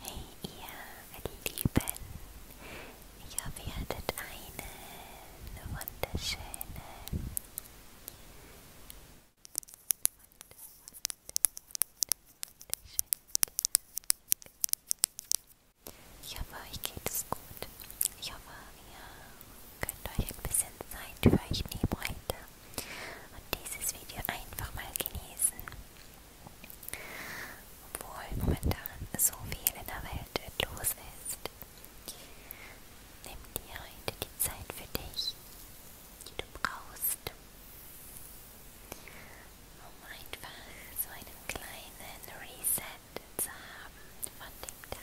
Hey ihr Lieben, ich hoffe ihr hattet einen wunderschönen ich hoffe, euch geht es gut. Ich hoffe, ihr könnt euch ein bisschen Zeit für euch nehmen heute und dieses Video einfach mal genießen. Obwohl momentan so viel in der Welt los ist, nimm dir heute die Zeit für dich, die du brauchst, um einfach so einen kleinen Reset zu haben von dem Tag.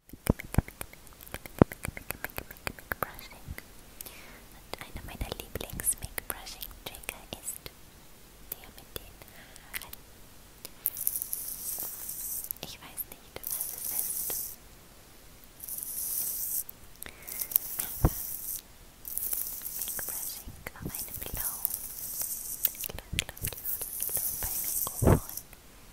Brushing. Und einer meiner Lieblings-Make-Brushing-Trigger ist der mit den Haaren. Ich weiß nicht, was es ist. Aber Make-Brushing auf einem Glow. Glow, Glow, Glow, Glow bei Mikrofon.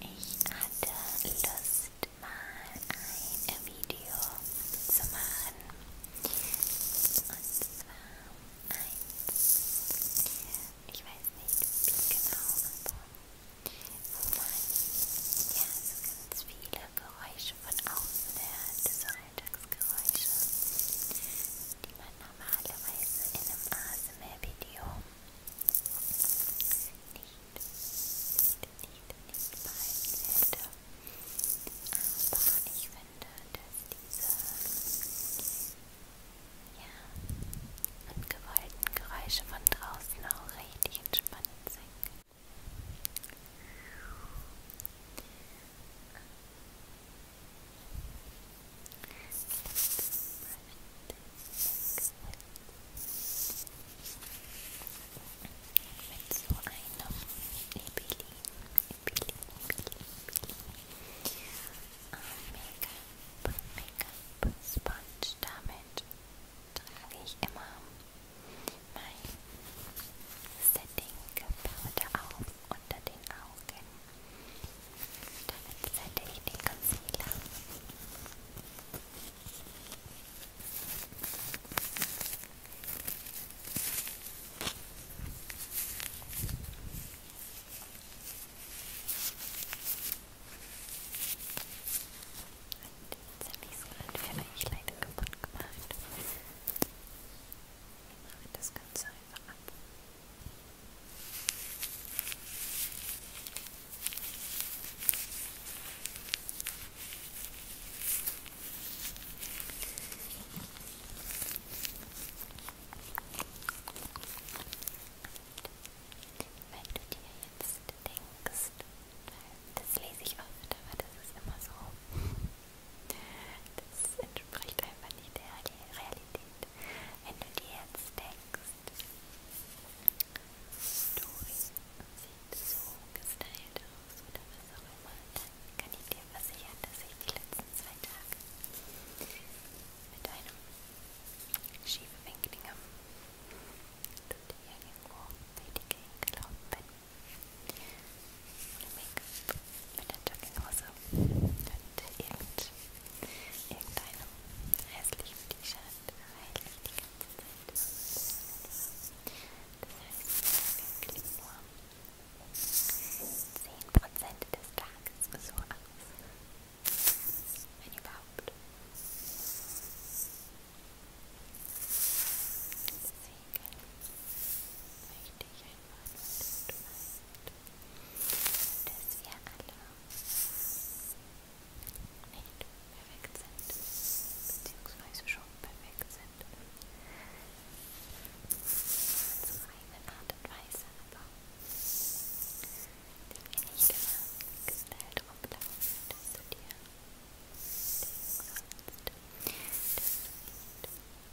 Ich hatte Lust, mal ein Video zu machen. Und zwar eins. Ich weiß nicht wie genau, aber wo man ja so ganz viele Geräusche von außen hört, so Alltagsgeräusche, die man normalerweise in einem Arzt ASMR-Video nicht, nicht, nicht, nicht behalten werde. Aber ich finde, dass diese ja, ungewollten Geräusche von draußen auch richtig entspannend sind. Und mit so einem Ebelin, Ebelin, Make-up, Make-up-Sponge. Damit trage ich immer mein Setting-Powder auf unter den Augen. Damit setze ich den Concealer. Und jetzt habe ich es gerade für euch leider kaputt gemacht. Ich mache das Ganze einfach ab. Wenn du dir jetzt denkst, das lese ich oft, aber das ist immer so. Das entspricht einfach nicht der Realität wenn du dir jetzt denkst, du sieht so gestylt aus oder was auch immer, dann kann ich dir versichern, dass ich die letzten zwei Tage mit einem schiefwinkligen Tut irgendwo durch die Gegend gelaufen bin. Ohne Make-up, mit der Jogginghose, dann irgend, irgendeinem hässlichen T-Shirt, weil ich die ganze Zeit das heißt, wir klicken nur 10% des Tages so aus, wenn überhaupt. Deswegen möchte ich meint, dass wir alle nicht perfekt sind, beziehungsweise schon perfekt sind. Zu einer Art und Weise, aber die wir nicht immer gestylt rumlaufen, dass du dir denkst, dass du nicht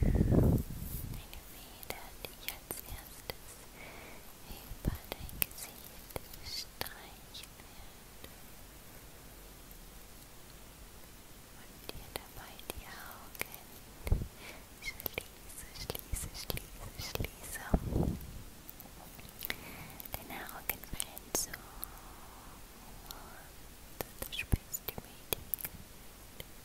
Feder, die als erstes über dein Gesicht streichen wird und dir dabei die Augen schließe, schließe, schließe, schließe. Deine Augen fallen zu und du spürst die Medien. Deine Augen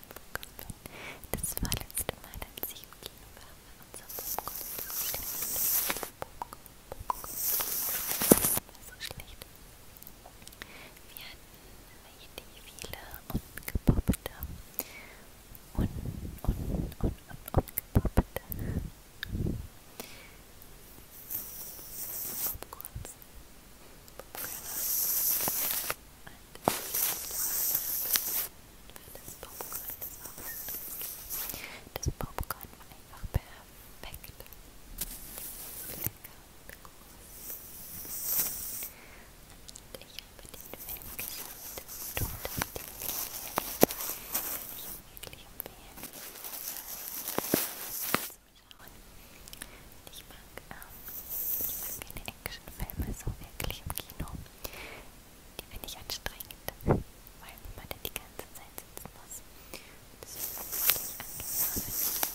ich bekommen bin. Das war letzte Mal, als ich im Kino war, war unser Popcorn so schlecht. Popcorn, war so schlecht. Wir hatten richtig viele ungepoppte und, und, und, und, ungepoppte Popcorns. Popcorn das Popcorn gemacht. Das Popcorn war einfach perfekt. Lecker und groß. Und ich habe den Film geschaut und total den Film. Ich wirklich empfehlen. Ich mag, ähm, ich mag keine Actionfilme so wirklich im Kino. Die finde ich anstrengend, weil man da die ganze Zeit sitzen muss. Das ist wirklich angefangen.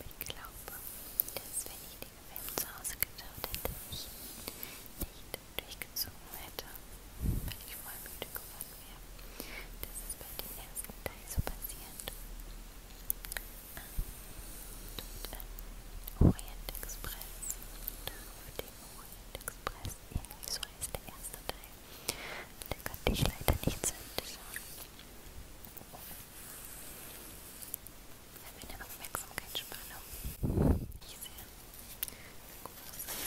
Ich glaube, dass wenn ich den Film zu Hause geschaut hätte, ich nicht durchgezogen hätte, weil ich voll müde geworden wäre. Das ist bei dem ersten Teil so passiert. Und, äh, Orient Express, da wurde Orient Express, irgendwie so heißt der erste Teil. Den konnte ich leider nicht zu Ende schauen. Bei meiner Aufmerksamkeitsspanne. Ich sehe. Groß. Hm.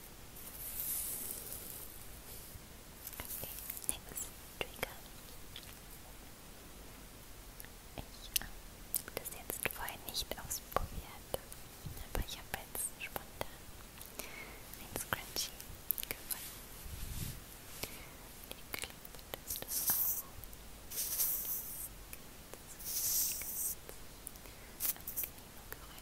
Okay, next trigger. Ich äh, habe das jetzt vorher nicht ausprobiert, aber ich habe jetzt spontan ein Scrunchie gefunden. Ich klebe das, das auf. Angenehme Geräusche.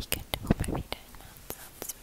Ich könnte auch mal wieder einen Ansatz für die machen.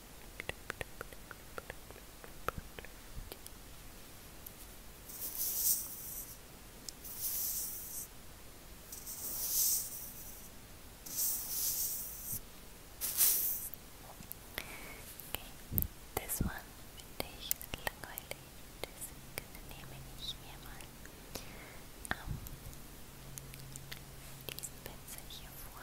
Okay, this one finde ich langweilig, deswegen nehme ich mir mal ähm, diesen Pinsel hier vor.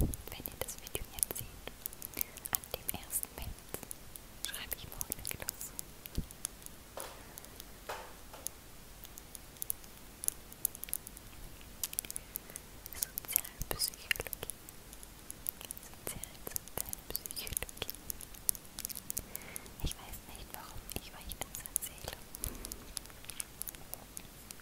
wenn ihr das Video jetzt seht, an dem ersten März schreibe ich morgen los. Sozialpsychologie. Sozial, Sozialpsychologie. Ich weiß nicht, warum ich euch das erzähle.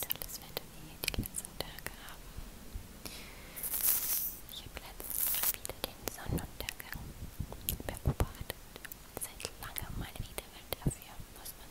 Tolles Wetter, wie wir die letzten Tage haben. Ich habe letztens mal wieder den Sonnenuntergang beobachtet. Seit langem mal wieder, weil dafür muss man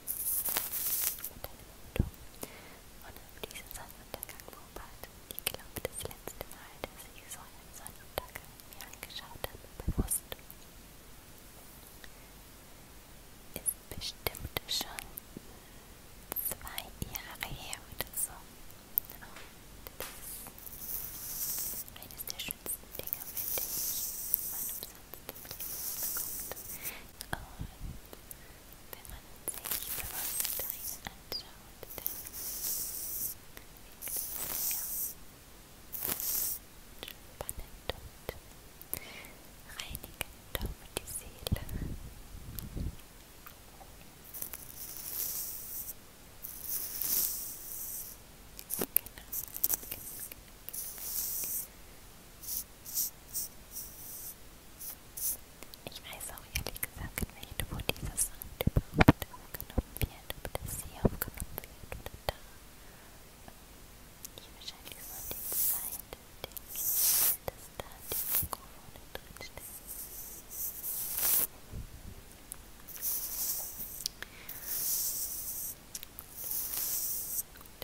und eine Mondung. Und auf diesen Sonnenuntergang beobachten. Ich glaube, das letzte Mal, dass ich so einen Sonnenuntergang mir angeschaut habe, bewusst, ist bestimmt schon zwei Jahre her oder so. Und das ist eines der schönsten Dinge, mit denen ich meinem Satz des Lebens bekommt. Und wenn man sich Bewusstsein anschaut, dann wirkt es sehr spannend und reinigend auf die Seele. Genau. Genau, genau, genau. Ich weiß auch ehrlich gesagt nicht, wo dieser Sound überhaupt aufgenommen wird, ob das hier aufgenommen wird oder da. Hier wahrscheinlich so an die Zeit, denke ich, dass da die Mikrofone drin stehen. Gut. Gut.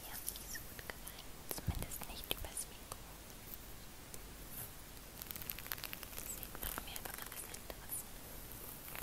Die haben nicht so gut gemeint, zumindest nicht übers Mikro. Deswegen machen wir einfach mal was anderes. Hm.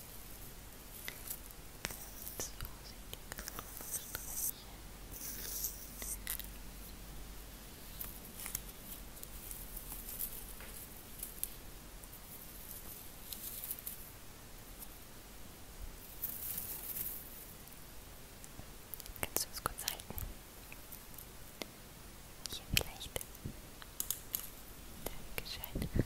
Ganz vorsichtig Kannst du es kurz halten? Hier vielleicht. Dankeschön.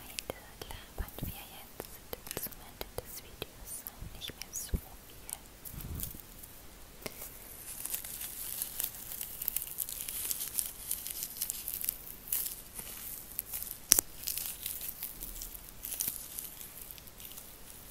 Heute labern wir jetzt zum Ende des Videos nicht mehr so viel. Heute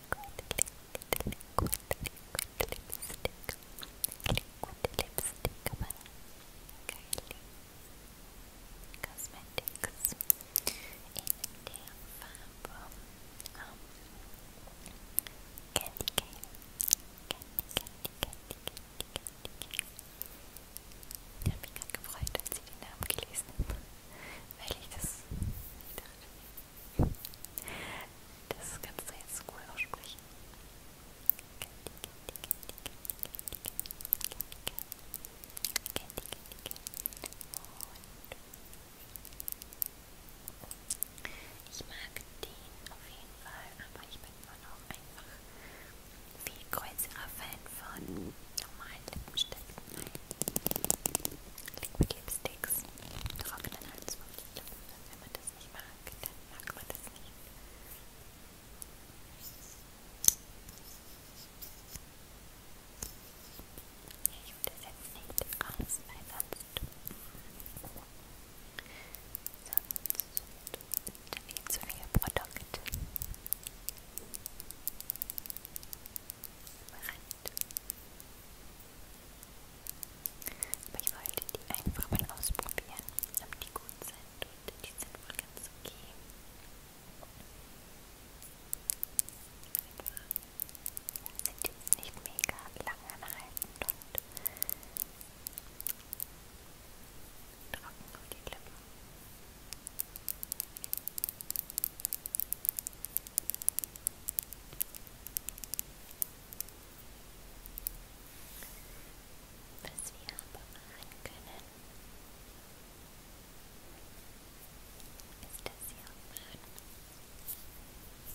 Liquid, Liquid Lipstick. Liquid Lipstick, aber geil. Cosmetics in der Farbe um, Candy Cane. Candy, Candy, Candy, Candy, Candy, Candy. Ich habe mich gerade gefreut, als ich den Namen gelesen habe, weil ich das, ich dachte, das kannst du jetzt cool aussprechen. Und ich mag den auf jeden Fall, aber ich bin immer noch einfach viel größerer Fan von normalen Lippenstiften. Liquid Lipsticks, trockenen als nicht glauben, dass wenn man das nicht mag, dann mag man das nicht. Ja, ich hole das jetzt nicht raus, weil sonst, sonst viel zu viel Produkt. Rein aber ich wollte die einfach mal ausprobieren, ob die gut sind und die sind wohl ganz okay. Sind jetzt nicht mega lang anhaltend und trocken auf die Lippen. Was wir aber machen können, ist das hier aufmachen. Und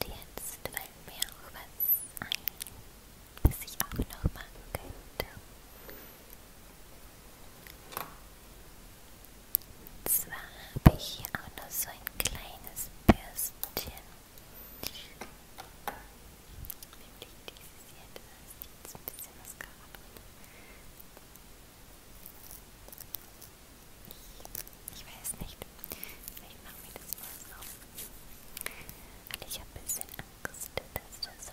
Und jetzt fällt mir auch was ein, was ich auch noch machen könnte. Zwar habe ich hier auch noch so ein kleines Bürstchen. Nämlich dieses hier, da ist jetzt ein bisschen Mascara drin. Ich, ich weiß nicht, vielleicht machen wir das mal so. Und ich habe ein bisschen Angst, dass das sonst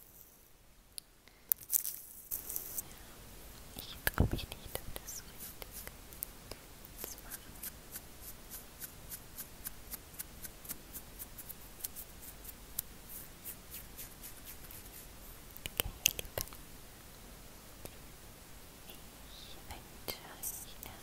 Ja, ich traue mich nicht, ob das so richtig zu machen. Okay, ihr Lieben. Ich wünsche euch noch